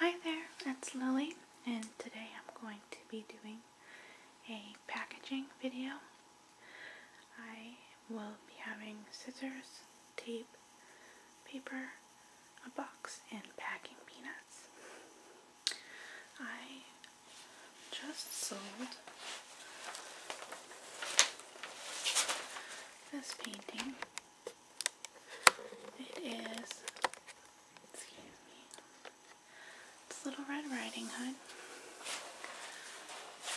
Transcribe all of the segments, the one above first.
Hi there, it's Lily and today I'm going to be doing a packaging video. I will be having scissors, tape, paper, a box, and packing peanuts. I just sold this painting it is, excuse me, it's Little Red Riding Hood.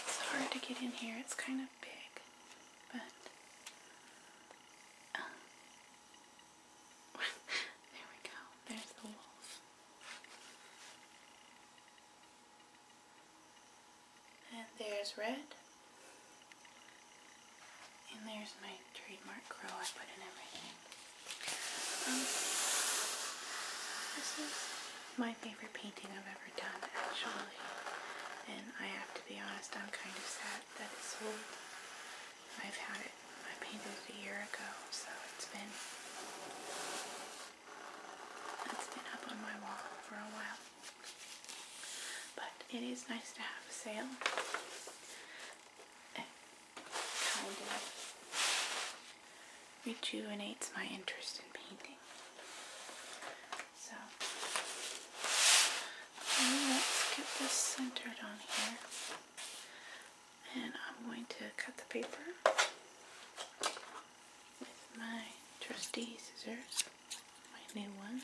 It's hard to get in here, it's kind of big, but uh, there we go, there's the wolf. And there's Red. And there's my trademark crow I put in everything. Um, this is my favorite painting I've ever done, actually. And I have to be honest, I'm kind of sad that it's sold. I've had it, I painted it a year ago, so it's been, it's been up on my wall for a while. But it is nice to have a sale rejuvenates my interest in painting. So let's get this centered on here. And I'm going to cut the paper with my trusty scissors, my new ones.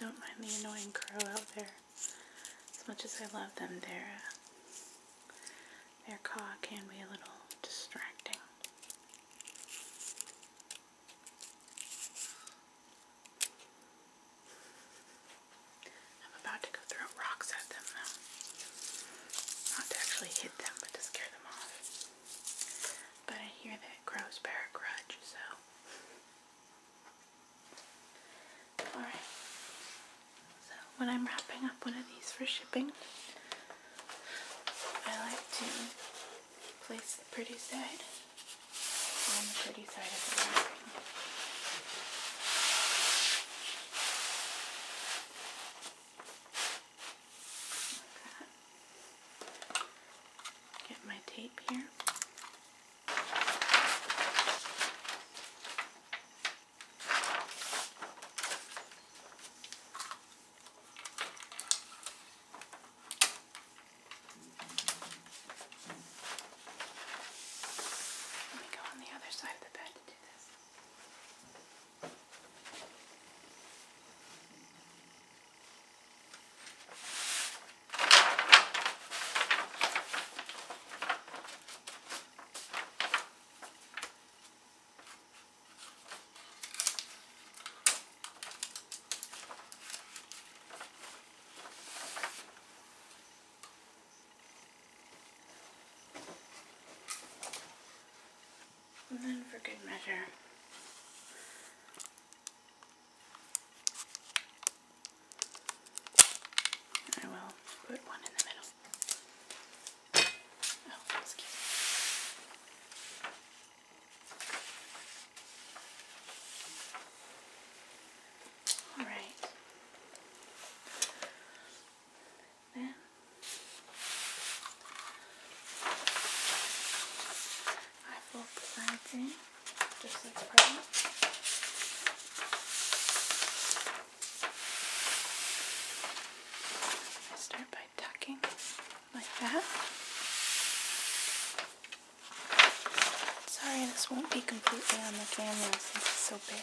Don't mind the annoying crow out there as much as I love them, their, uh, their caw can be a little distracting. I'm about to go throw rocks at them Not to actually hit them, but to scare them off. But I hear that crows bear a grudge, so Alright, so when I'm wrapping up one of these for shipping, I like to place the pretty side on the pretty side of the wrapping. Get my tape here. Let me go on the other side of the bed to do this. And then for good measure, I will put one in the middle. Oh, All right. Then I will put that in start by tucking like that. Sorry, this won't be completely on the camera since it's so big.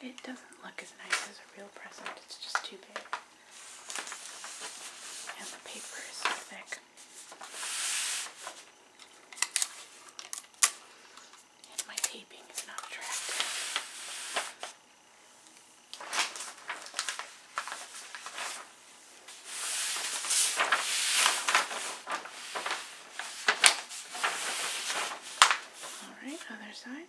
It doesn't look as nice as a real present, it's just too big. And the paper is so thick. And my taping is not attractive. All right, other side.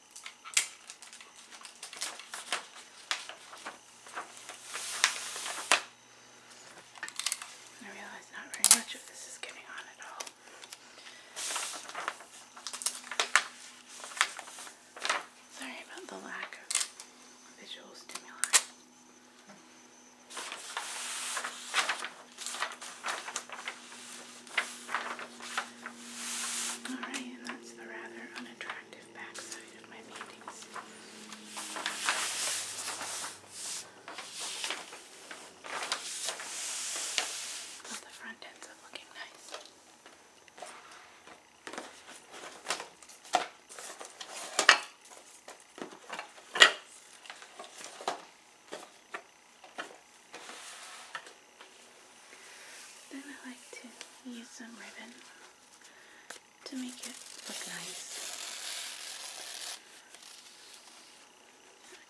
I realize not very much of this is getting on at all. Sorry about the lack of visual stimuli. Alright, and that's the rather unattractive backside of my paintings. But the front ends up looking nice. Then I like to use some ribbon to make it look nice.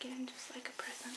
Again, just like a present.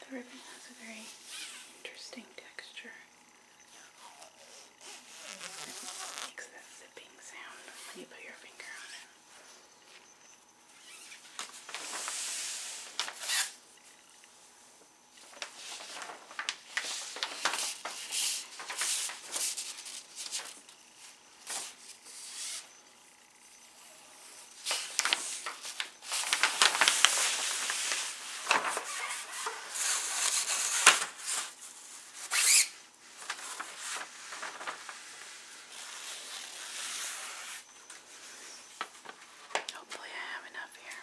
The ribbon has a very interesting texture. It makes that zipping sound when you put your finger on it. Hopefully, I have enough here.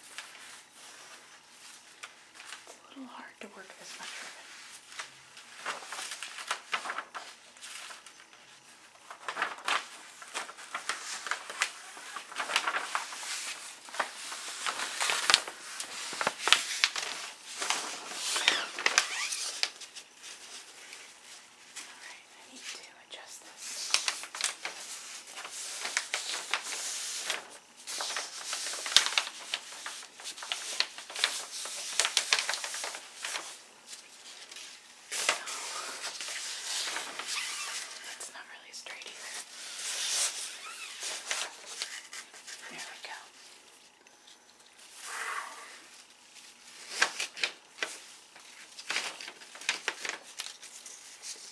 It's a little hard to work this much ribbon. All right, I need to adjust this. No. It's not really straight either. There we go.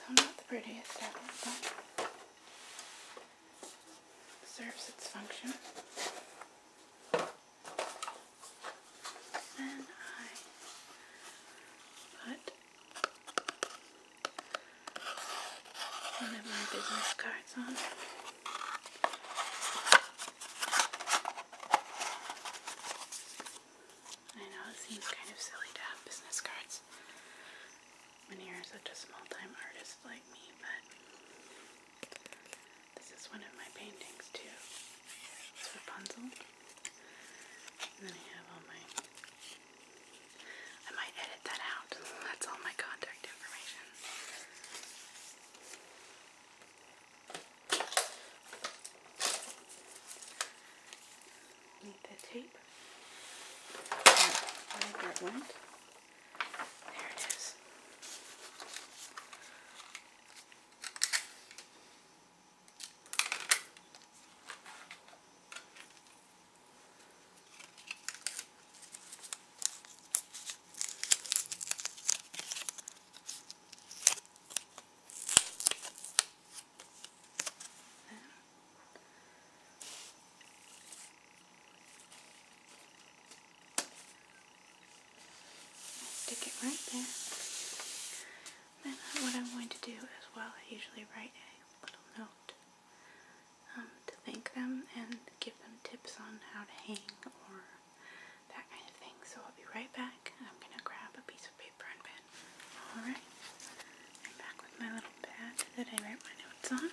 So not the prettiest ever, but serves its function. Then I put one of my business cards on. I know it seems kind of silly to have business cards when you're such a small-time artist like me, but this is one of my paintings too. It's Rapunzel. And then I have all my... I might edit that out. That's all my contact information. Need the tape. Where that went. There it is. Stick it right there. Then what I'm going to do as well, I usually write a little note um, to thank them and give them tips on how to hang or that kind of thing. So I'll be right back. I'm gonna grab a piece of paper and pen. Alright. I'm back with my little pad that I write my notes on.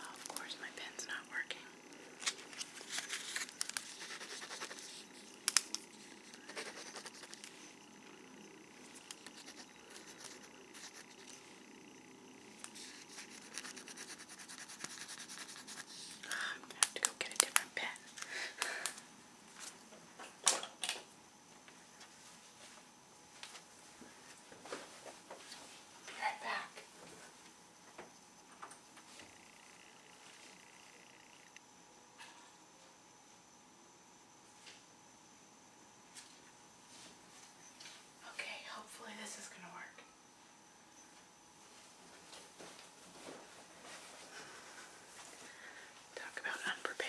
of course my pen's not working. I'm gonna have to go get a different pen. Be right back. Okay, hopefully this is going to work. Talk about unprepared.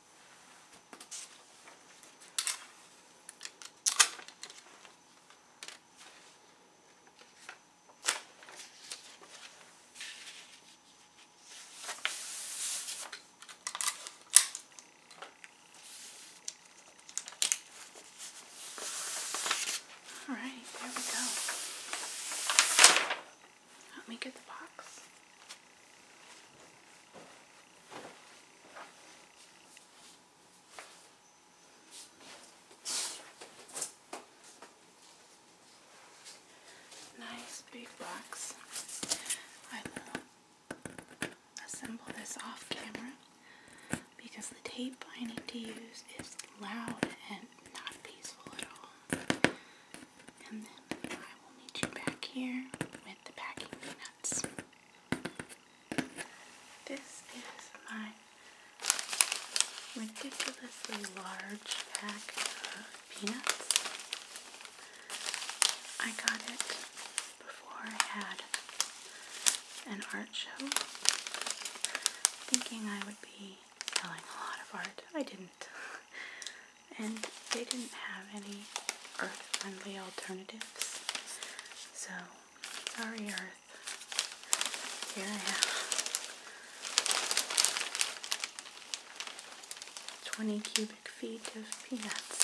All right, there we go. Let me get the box. Nice big box. I will assemble this off camera because the tape I need to use is loud and not peaceful at all. And then I will meet you back here with the packing peanuts. This is my ridiculously large pack of peanuts. I got it before I had an art show, thinking I would be selling a lot of art. I didn't. and they didn't have any earth-friendly alternatives. So, sorry earth, here I have 20 cubic feet of peanuts.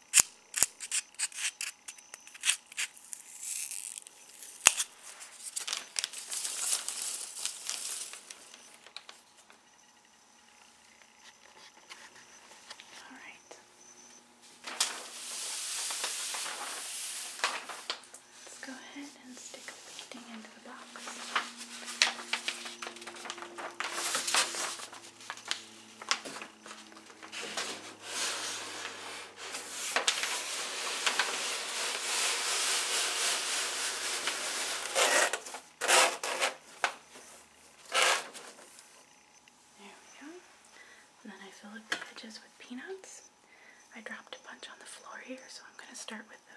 All right. Let's go ahead and stick the painting into the box. There we go. And then I fill up the edges with peanuts. I dropped a bunch on the floor here, so I'm going to start with those.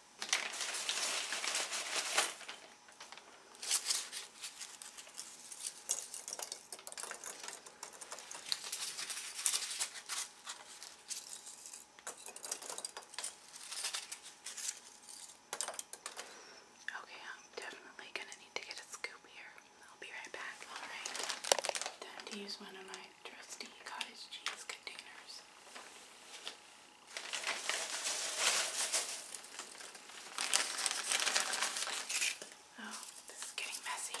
Okay, I'm definitely going to need to get a scoop here. I'll be right back. Alright, time to use one of my trusty cottage cheese containers. Oh, this is getting messy.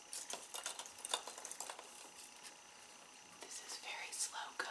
This is very slow going.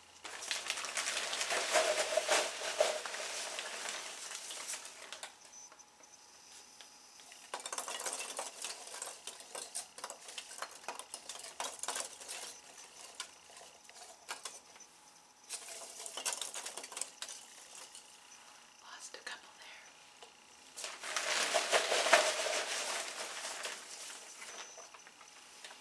Lost a couple there.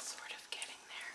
Sort of getting there.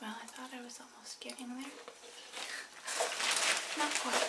Well, I thought I was almost getting there. Not quite.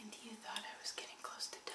And you thought I was getting close to dying.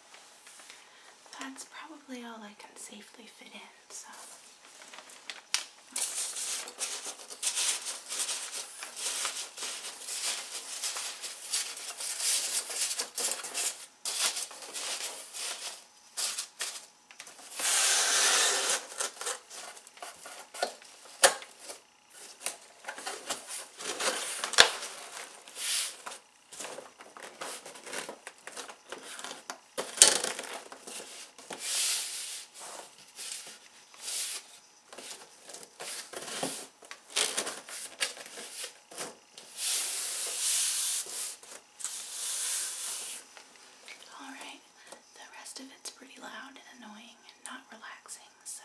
That's probably all I can safely fit in, so. Alright, the rest of it's pretty loud and annoying and not relaxing, so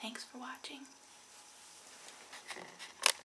thanks for watching.